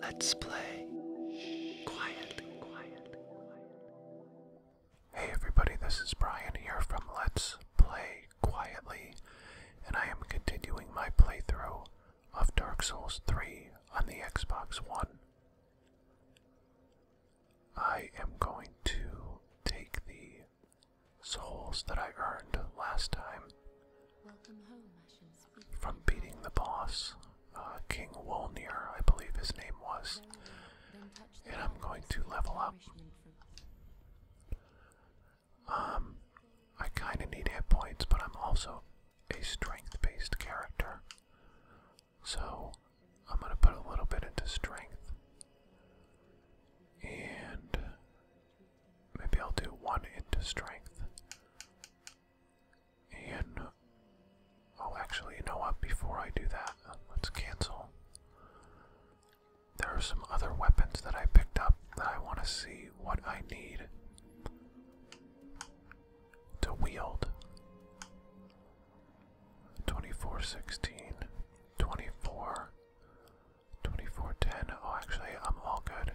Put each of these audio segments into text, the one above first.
Let's play quietly, Hey everybody, this is Brian here from Let's Play Quietly, and I am continuing my playthrough of Dark Souls 3 on the Xbox One. I am going to take the souls that I earned last time Welcome home, from beating the boss, uh, King Wolnir, I believe his name was. And I'm going to level up. Um, I kind of need hit points, but I'm also a strength-based character, so I'm going to put a little bit into strength, and maybe I'll do one into strength. And oh, actually, you know what? Before I do that, let's cancel. There are some other weapons that I picked up that I want to see what I need to wield. 2416, 24, 2410. Oh, actually, I'm all good.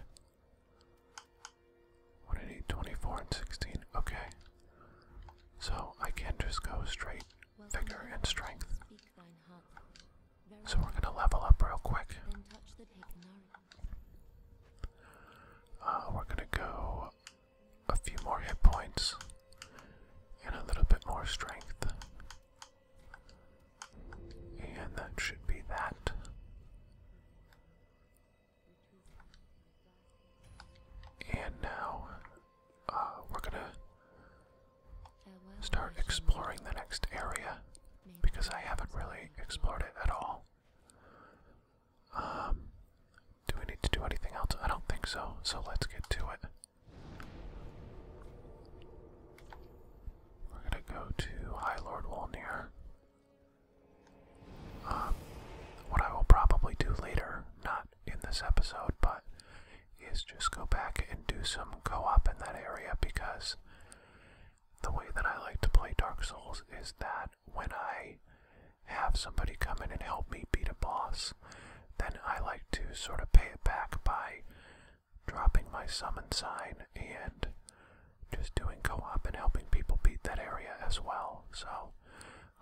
What I need 24 and 16. Okay. So I can just go straight Welcome vigor and strength. So we're gonna level up real quick. Uh, we're gonna go a few more hit points and a little bit more strength. And that should be that. And now uh, we're gonna start exploring the next area because I haven't really explored it at all. Um, do we need to do anything else? I don't think so, so let's get to it. We're gonna go to High Lord um, what I will probably do later, not in this episode, but is just go back and do some co-op in that area because the way that I like to play Dark Souls is that when I have somebody come in and help me beat a boss, then I like to sort of pay it back by dropping my summon sign and just doing co-op and helping people beat that area as well. So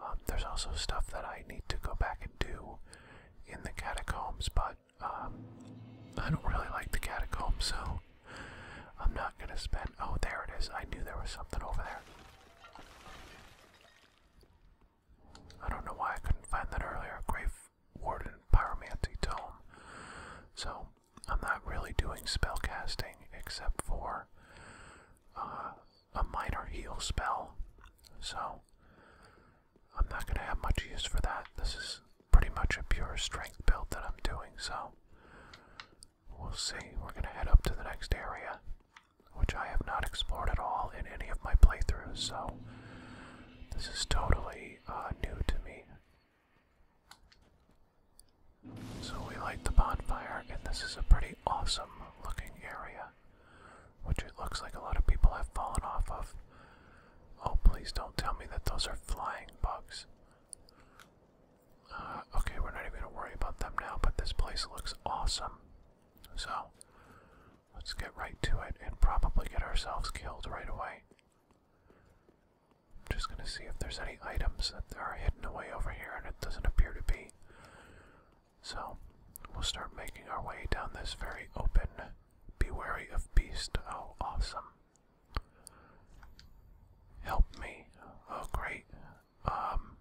um, there's also stuff that I need to go back and do in the catacombs, but um, I don't really like the catacombs, so I'm not gonna spend. Oh, there it is. I knew there was something over there. I don't know why I couldn't find that earlier. Grave Warden Pyromancy Tome. So I'm not really doing spellcasting except for uh, a minor heal spell, so I'm not going to have much use for that. This is pretty much a pure strength build that I'm doing, so we'll see. We're going to head up to the next area, which I have not explored at all in any of my playthroughs, so this is totally uh, new to me. So we light the bonfire, and this is a pretty awesome looking area, which looks like a lot of people have fallen off of. Oh, please don't tell me that those are flying bugs. Uh, okay, we're not even going to worry about them now, but this place looks awesome. So, let's get right to it and probably get ourselves killed right away. I'm just gonna see if there's any items that are hidden away over here, and it doesn't appear to be. So, we'll start making our way down this very open, be wary of beast. Oh, awesome. Help me. Oh, great. Um,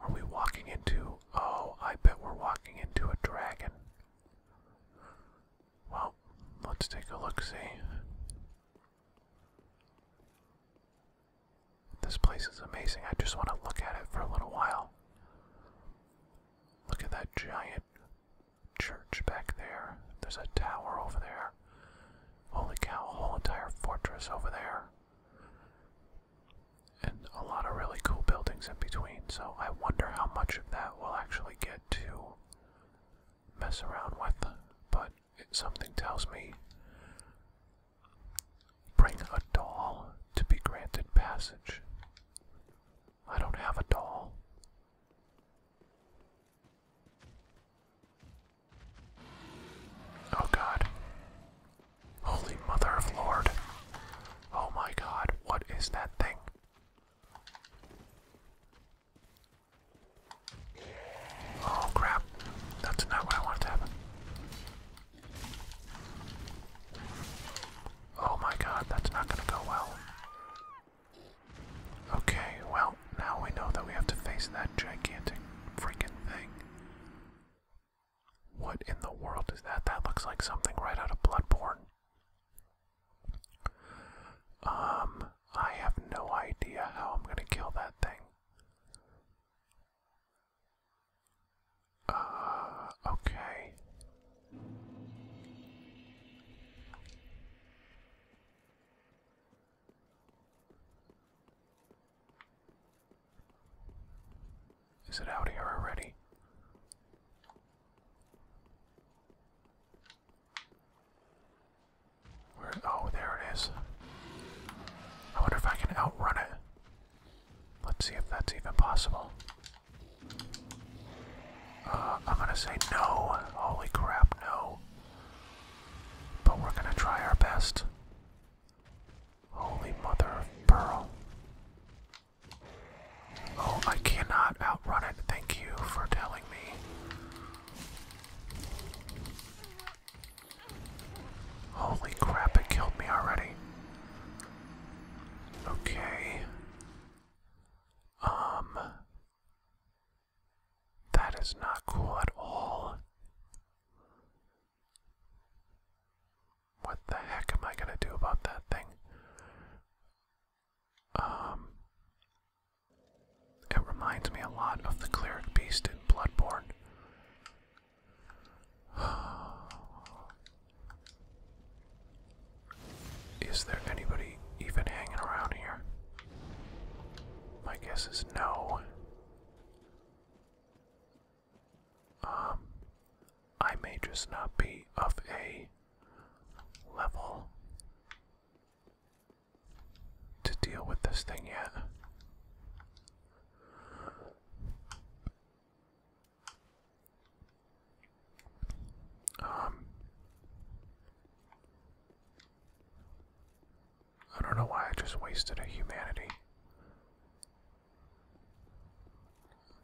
are we walking into. Oh, I bet we're walking into a dragon. Well, let's take a look see. This place is amazing. I just want to look at it for a little while. Look at that giant church back there. There's a tower over there. Holy cow, a whole entire fortress over there. And a lot of really cool buildings in between, so I wonder how much of that we'll actually get to mess around with. But something tells me bring a doll to be granted passage. I don't have a doll. Oh god. Holy Mother of Lord. Oh my god, what is that thing? Oh crap, that's not what I wanted to happen. Oh my god, that's not gonna go well. Okay, well, now we know that we have to face that gigantic freaking thing. What in the world is that? That looks like something right out of Bloodborne. Um, I have no idea how I'm gonna kill that thing. Uh, okay. Is it out here already? Oh, there it is. I wonder if I can outrun it. Let's see if that's even possible. Uh, I'm gonna say no. Holy crap, no. But we're gonna try our best. Holy mother of pearl. Oh, I cannot outrun it. Thank you for telling me. Holy crap, it killed me already. Okay. Um. That is not cool at all. What the heck am I gonna do about that thing? Um. It reminds me a lot of the cleric beast in Bloodborne. Is there anybody even hanging around here? My guess is no. Um, I may just not be of a level to deal with this thing yet. Um, I don't know why I just wasted a humanity.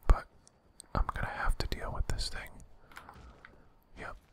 But I'm gonna have to deal with this thing. Yep.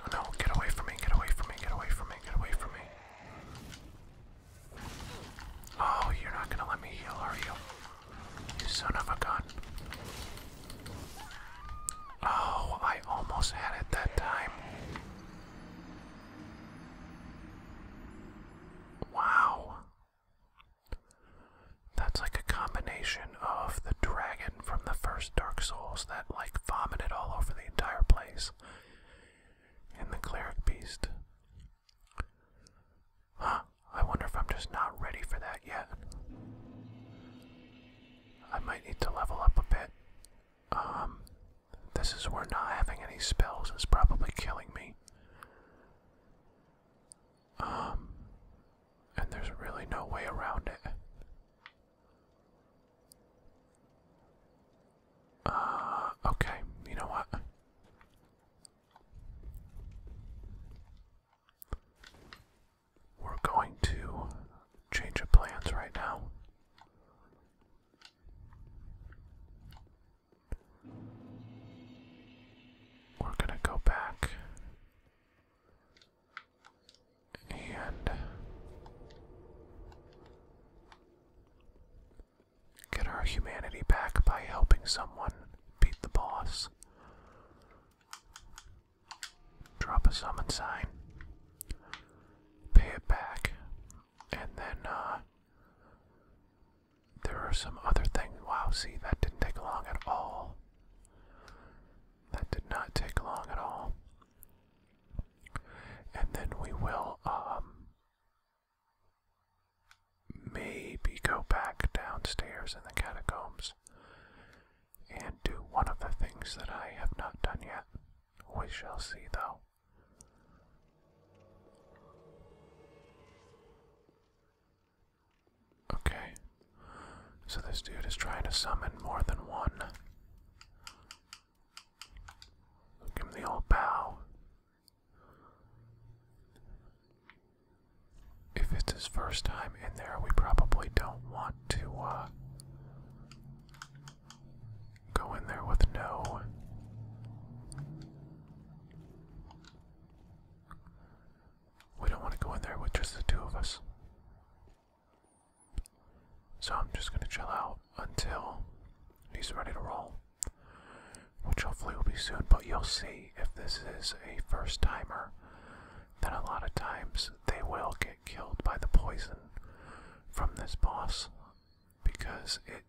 Oh no, get away from me, get away from me, get away from me, get away from me. Oh, you're not gonna let me heal, are you? son of a gun. Oh, I almost had it that time. Wow. That's like a combination of the dragon from the first Dark Souls that, like, vomited all over the entire place, and the cleric beast. Huh, I wonder if I'm just not ready for that yet. I might need to level up a bit. Um, this is where not having any spells is probably killing me. Um, and there's really no way around it. Uh, okay, you know what? We're going to change our plans right now. We're going to go back and Get our humanity back by helping someone beat the boss. Drop a summon sign. Pay it back. And then, uh, There are some other things. Wow, see, that didn't take long at all. That did not take long at all. And then we will, um, Maybe go back downstairs in the catacombs and do one of the things that I have not done yet. We shall see, though. Okay. So this dude is trying to summon more than one. Give him the old bow. If it's his first time in there, we probably don't want to uh, go in there with no. We don't want to go in there with just the two of us. So I'm just going to chill out until he's ready to roll which hopefully will be soon. But you'll see if this is a first timer, then a lot of times they will get killed by the poison from this boss because it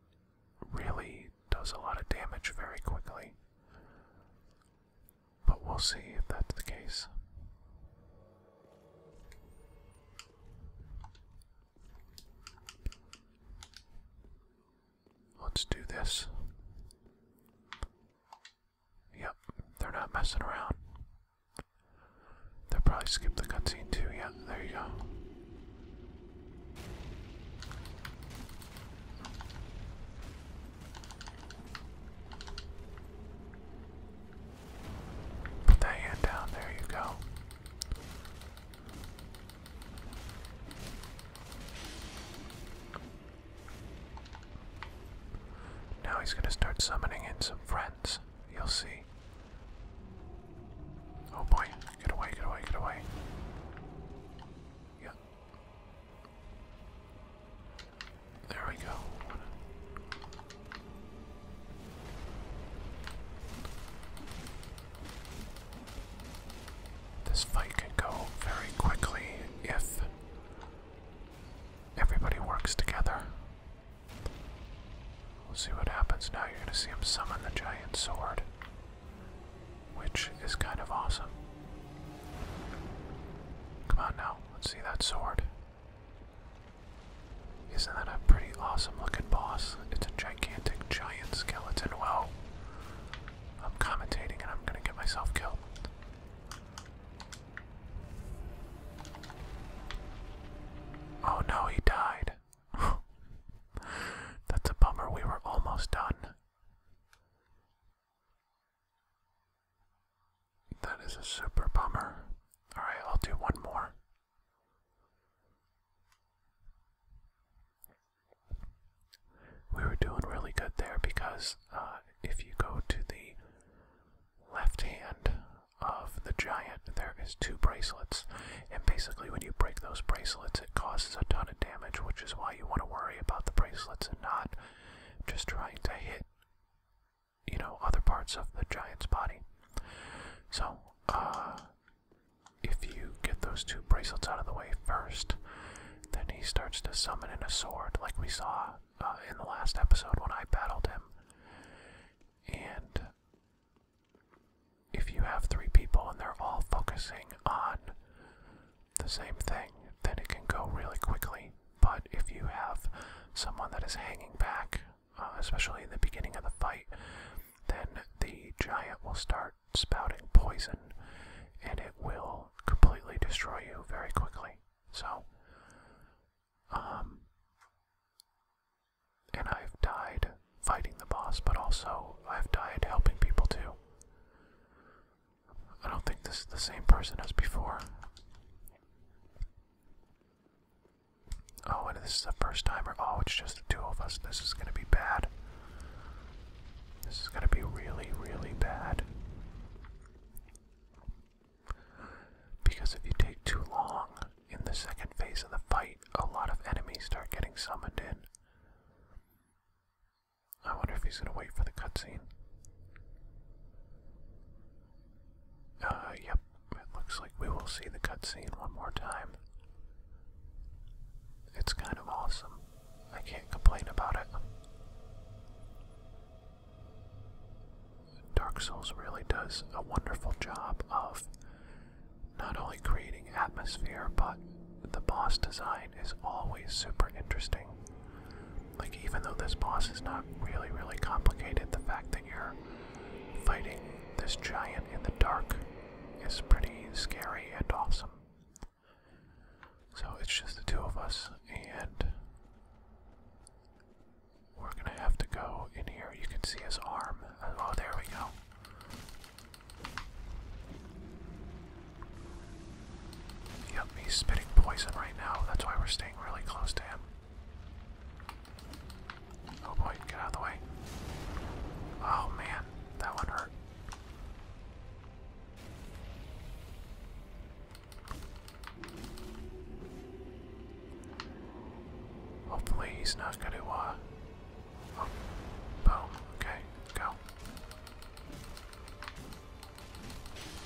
really does a lot of damage very quickly. But we'll see if that's the case. Let's do this. Yep, they're not messing around. They'll probably skip the cutscene too. Yeah, there you go. Put that hand down. There you go. Now he's going to start summoning in some friends. You'll see. Oh boy, get away, get away, get away. Yeah. There we go. This fight can go very quickly if everybody works together. We'll see what happens now. You're going to see him summon the giant sword, which is kind of awesome. Come on now, let's see that sword. Isn't that a pretty awesome looking boss? It's a gigantic giant skeleton. Well. I'm commentating and I'm gonna get myself killed. Oh no, he died. That's a bummer, we were almost done. That is a super bummer. Alright, I'll do one more we were doing really good there because uh, if you go to the left hand of the giant, there is two bracelets, and basically when you break those bracelets, it causes a ton of damage, which is why you want to worry about the bracelets and not just trying to hit, you know, other parts of the giant's body. So, uh, if you get those two bracelets out of the way first, then he starts to summon in a sword, like we saw uh, in the last episode when I battled him. And if you have three people and they're all focusing on the same thing, then it can go really quickly. But if you have someone that is hanging back, uh, especially in the beginning of the fight, then the giant will start spouting poison and it will completely destroy you very quickly. So, um, and I've died fighting the boss, but also I've died helping people too. I don't think this is the same person as before. Oh, and this is the first timer. Oh, it's just the two of us. This is gonna be bad. This is going to be really, really bad. Because if you take too long in the second phase of the fight, a lot of enemies start getting summoned in. I wonder if he's going to wait for the cutscene. Uh, yep, it looks like we will see the cutscene one more time. It's kind of awesome. I can't complain about it. Dark Souls really does a wonderful job of not only creating atmosphere, but the boss design is always super interesting. Like, even though this boss is not really, really complicated, the fact that you're fighting this giant in the dark is pretty scary and awesome. So it's just the two of us, and we're gonna have to go in here. You can see his arm. Oh, there we go. Yep, he's spitting poison right now. That's why we're staying really close to him. Oh boy, get out of the way. Oh man, that one hurt. Hopefully he's not going to, uh, oh, boom, okay, go.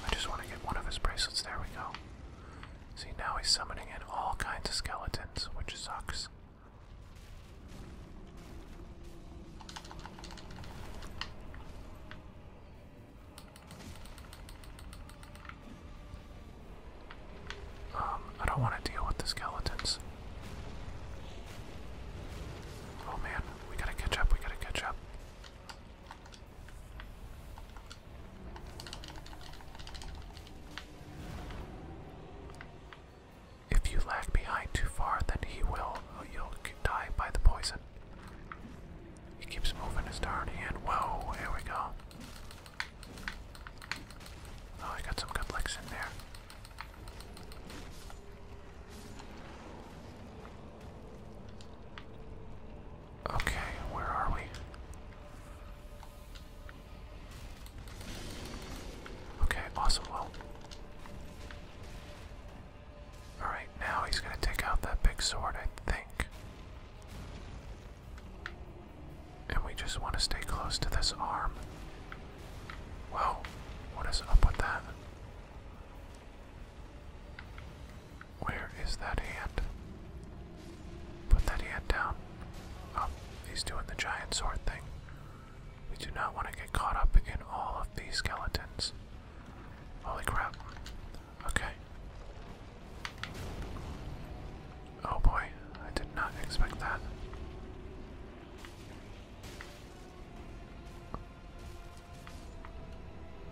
I just want to get one of his bracelets, there we go. See, now he's summoning in all kinds of skeletons, which sucks. Um, I don't want to deal with the skeletons. Oh man, we gotta catch up, we gotta catch up. If you lag behind too far, then he will. You'll die by the poison. He keeps moving his darn hand. Whoa, here we go. Oh, I got some good licks in there. Okay, where are we? Okay, awesome. Alright, now he's going to take out that big sword, I think. And we just want to stay close to this arm. Whoa, what is up with that? Where is that hand? Put that hand down. Oh, he's doing the giant sword thing. We do not want to get caught up in all of these skeletons. Holy crap. Okay. Oh boy, I did not expect that.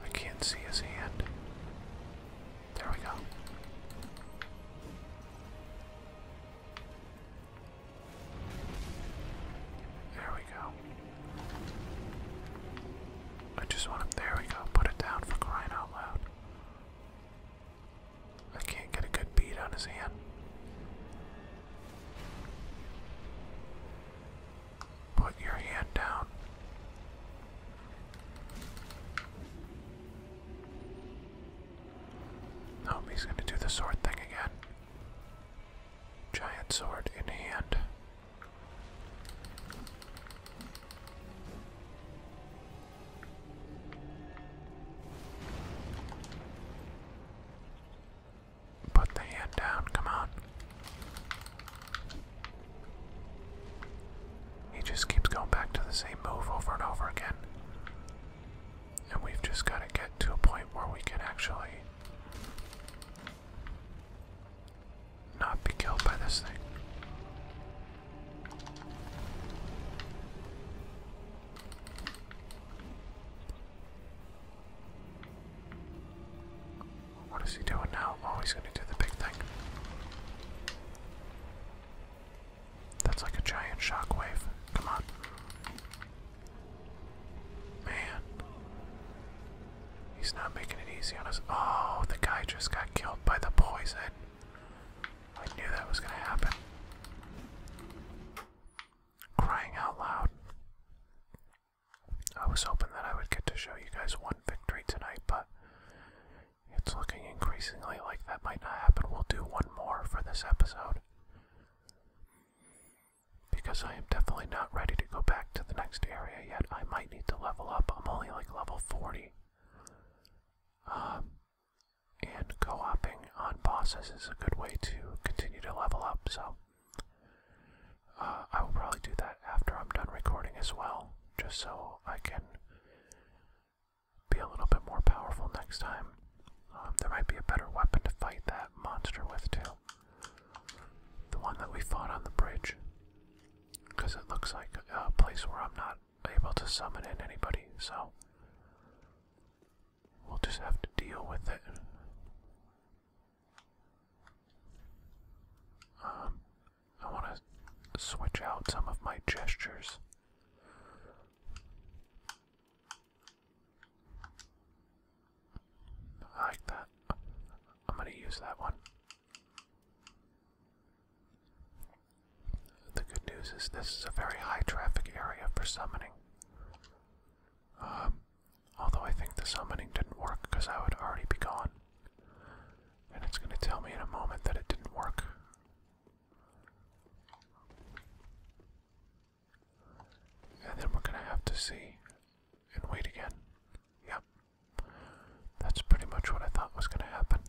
I can't see his hand. There we go. There we go. I just want to, there we go, put it down for crying out loud. I can't get a good bead on his hand. Put your hand down. Nope, he's going to do the sword thing again giant sword in hand. Put the hand down, come on. He just keeps going back to the same move over and over again. And we've just got to get to a point where we can actually not be killed by this thing. What is he doing now? Oh, he's gonna do the big thing. That's like a giant shockwave. Come on. Man. He's not making it easy on us. Oh, the guy just got killed by the poison. I knew that was going to happen. Crying out loud. I was hoping that I would get to show you guys one victory tonight, but it's looking increasingly like that might not happen. We'll do one more for this episode. Because I am definitely not ready to go back to the next area yet. I might need to level up. I'm only like level 40. Um, and co oping on bosses is a good way to continue to level up, so uh, I will probably do that after I'm done recording as well, just so I can be a little bit more powerful next time. Um, there might be a better weapon to fight that monster with, too. The one that we fought on the bridge. Because it looks like a place where I'm not able to summon in anybody, so. We'll just have to deal with it. Um, I want to switch out some of my gestures. I like that. I'm gonna use that one. The good news is this is a very high traffic area for summoning. Um, although I think the summoning didn't work because I would already be gone. And it's gonna tell me in a moment that it didn't work. And then we're gonna have to see and wait again. Yep. That's pretty much what I thought was gonna happen.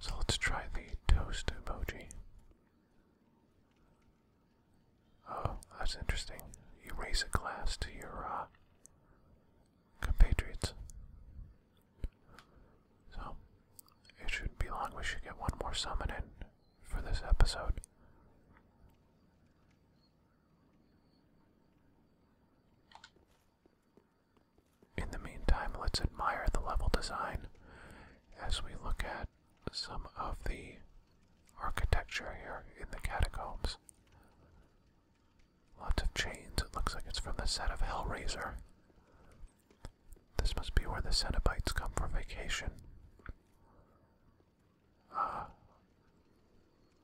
So let's try the toast emoji. Oh, that's interesting. You raise a glass to your uh, compatriots. So, it shouldn't be long. We should get one more summon in, for this episode. In the meantime, let's admire the level design as we look at some of the architecture here in the catacombs. Lots of chains, it looks like it's from the set of Hellraiser. This must be where the Cenobites come for vacation. Uh,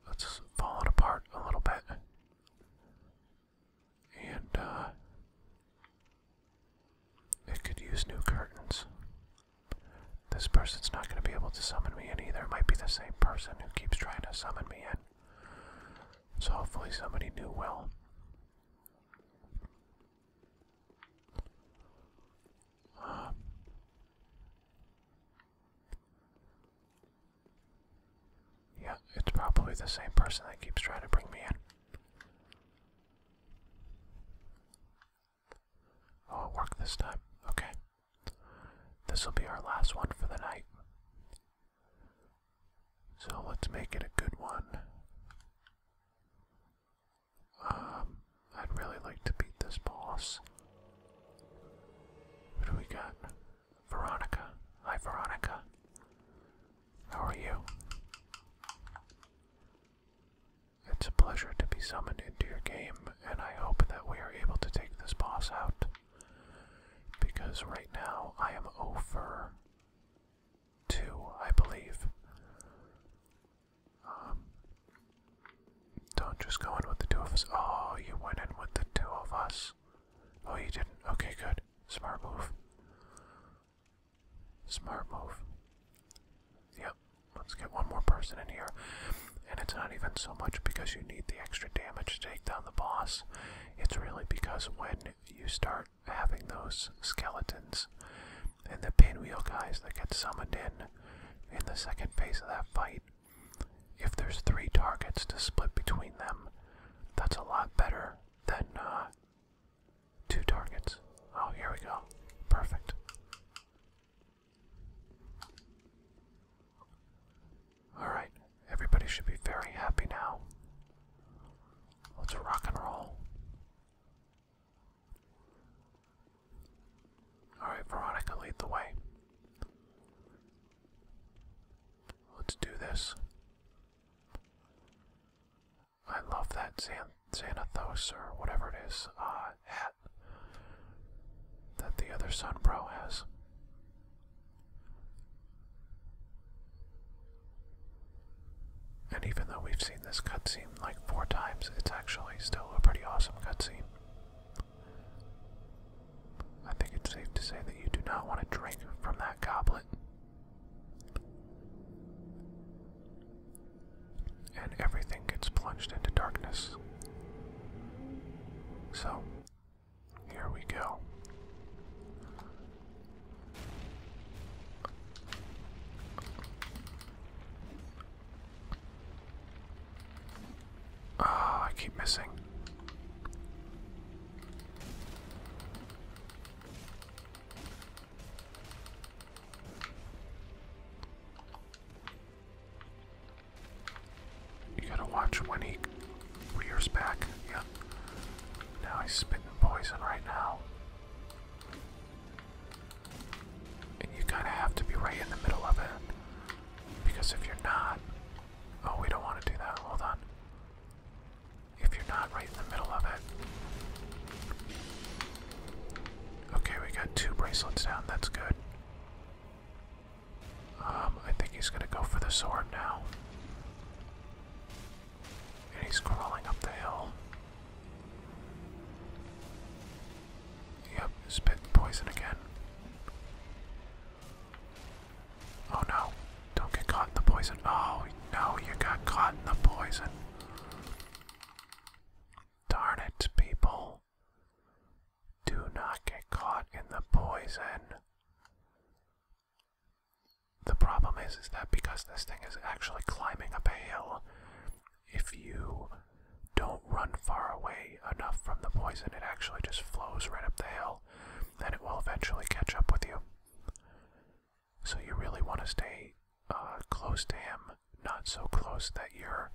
that's apart a little bit. And, uh, it could use new curtains. This person's not going to be able to summon me in either. It might be the same person who keeps trying to summon me in. So hopefully somebody new will yeah, it's probably the same person that keeps trying to bring me in. Oh, it worked this time. Okay. This will be our last one for the night. So let's make it a good one. Um, I'd really like to beat this boss. What do we got? Veronica. Hi, Veronica. How are you? It's a pleasure to be summoned into your game, and I hope that we are able to take this boss out. Because right now I am over 2, I believe. Um, don't just go in with the two of us. Oh, you went in with the two of us. Oh, you didn't. Okay, good. Smart move. Smart move. Yep. Let's get one more person in here. And it's not even so much because you need the extra damage to take down the boss. It's really because when you start having those skeletons, and the pinwheel guys that get summoned in in the second phase of that fight. If there's three targets to split between them, that's a lot better than uh, two targets. Oh, here we go. Perfect. Alright, everybody should be very happy now. Let's rock and roll. Alright, Veronica, lead the way. Let's do this. I love that Xan Xanathos, or whatever it is, uh, hat that the other sun pro has. And even though we've seen this cutscene like four times. It's actually still a pretty awesome cutscene. I think it's safe to say that you do not want to drink from that goblet. And everything gets plunged into darkness. So, here we go. Oh, I keep missing. You gotta watch when he rears back. Yeah. Now he's spitting poison right now. And you kind of have to be right in the middle of it. Because if you're not. Oh, we don't want to do that. Hold on. If you're not right in the middle of it. Okay, we got two bracelets down. That's good. Um, I think he's gonna go for the sword now. And he's crawling up the hill. Yep, spit poison again. Oh no, don't get caught in the poison. Oh no, you got caught in the poison. Darn it, people. Do not get caught in the poison. The problem is, is that because this thing is actually climbing up a hill, if you don't run far away enough from the poison, it actually just flows right up the hill and it will eventually catch up with you. So you really want to stay uh, close to him, not so close that you're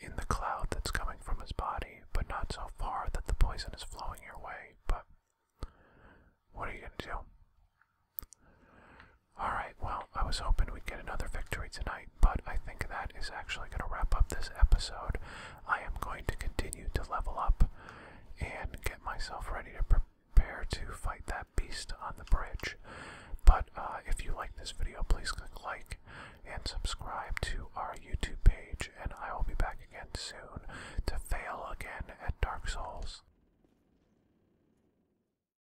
in the cloud that's coming from his body, but not so far that the poison is flowing your way. But what are you going to do? Alright, well, I was hoping we'd get another victory tonight, but I think that is actually going to wrap up this episode. I am going to continue to level up and get myself ready to prepare to fight that beast on the bridge. But uh, if you like this video, please click like and subscribe to our YouTube page, and I will be back again soon to fail again at Dark Souls.